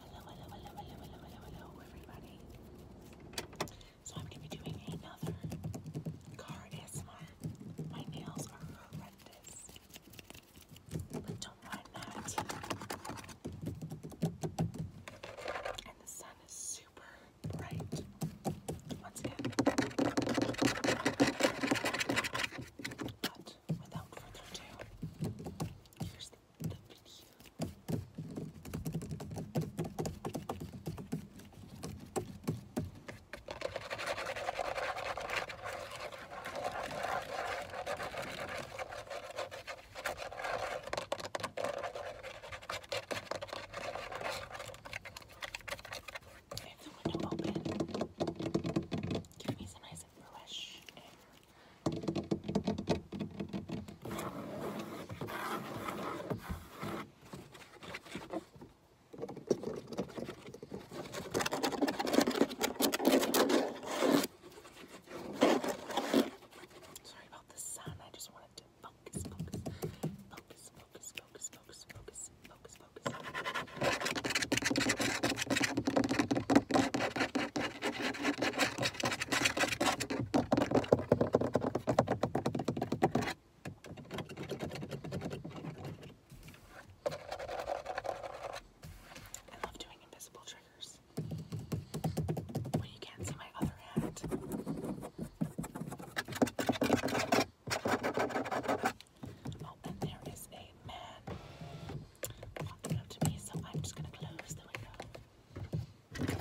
Hello, hello, So I'm gonna be doing another card ASMR. My nails are horrendous, but don't mind that. And the sun is super bright. Once again. And without further ado, here's the, the Give me some ice is blush Sorry about the sun. I just wanted to focus, focus, focus, focus, focus, focus, focus, focus, focus. I love doing invisible triggers. When you can't see my other hand. Oh, and there is a man walking up to me, so I'm just gonna close the window.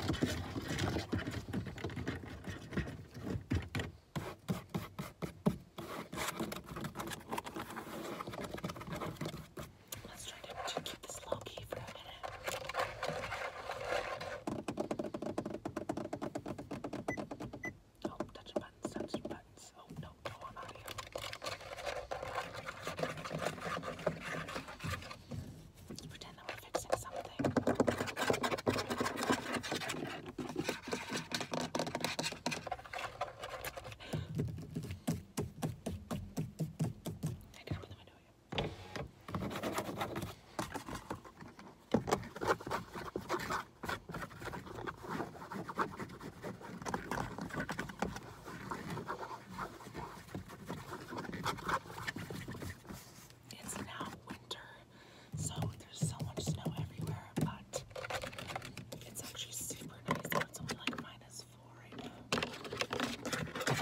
Let's try to keep this low key for a minute. Oh, touching buttons, touching buttons. Oh, no, no, i out here. Let's pretend that we're fixing something. I can open the window again. It's now winter, so there's so much snow everywhere, but it's actually super nice. Though. It's only like minus four right now.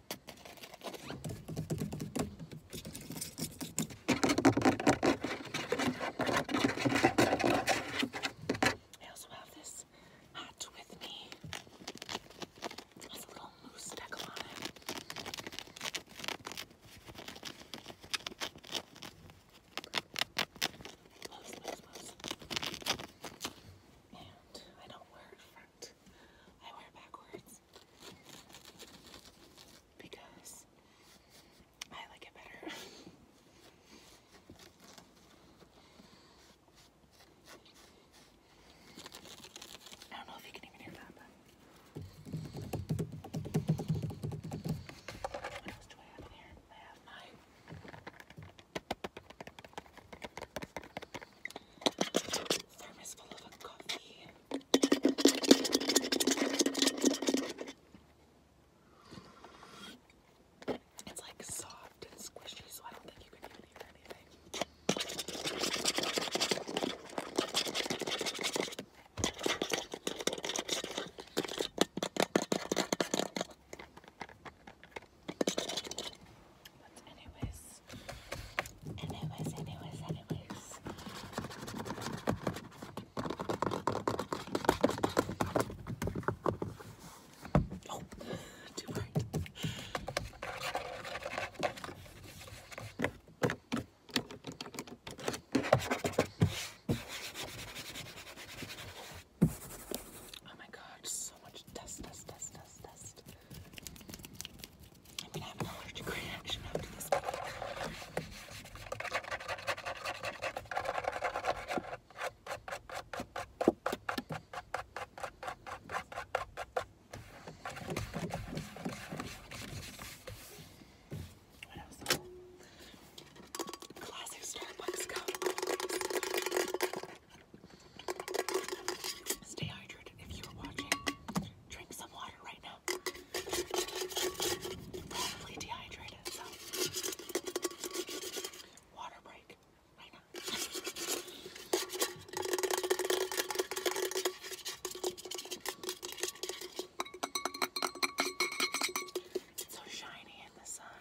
I also have this hat with me. It has a little moose deckle on it. Moose, moose, moose. And I don't wear it front. I wear backwards because I like it better. I don't know if you can even hear that, but what else do I have in here? I have my Thermos full of a coffee. It's like soft and squishy, so I don't think you can even hear anything anyways, anyways, anyways, anyways. Oh, too bright. Oh my god, so much dust, dust, dust, dust, dust. I'm gonna have an allergic reaction after this What else? Classic Starbucks cup. Stay hydrated if you are watching. Drink some water right now. you dehydrated, so water break right now. so shiny in the sun.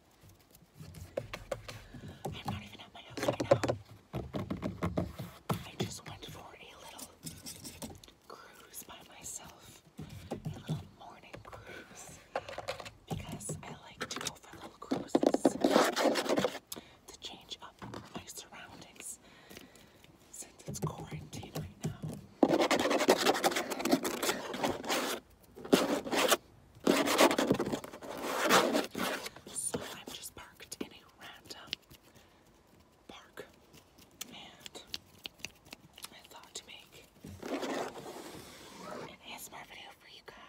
I'm not even at my house right now. I just went for a little cruise by myself, a little morning cruise, because I like to go for little cruises to change up my surroundings since it's quarantine right now. So I'm just parked in a random park and I thought to make an ASMR video for you guys.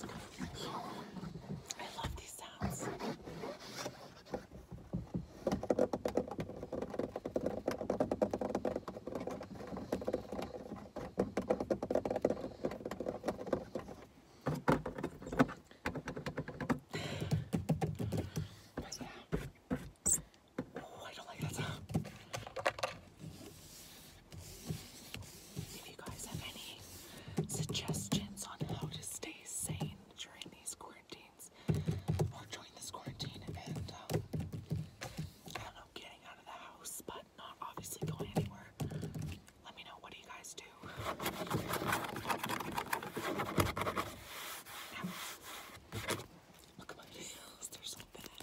I love these sounds. But yeah. Oh, I don't like that sound. If you guys have any suggestions on how to stay sane during these quarantines or during this quarantine and um, I don't know, getting out of the house but not obviously going anywhere, let me know what do you guys do. look at my nails, they're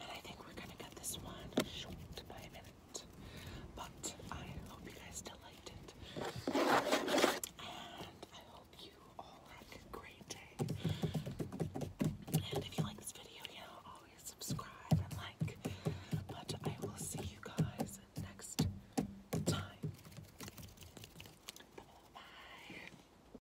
And I think we're gonna cut this one short by a minute. But I hope you guys still liked it. And I hope you all had a great day. And if you like this video, you always subscribe and like. But I will see you guys next time. Bye.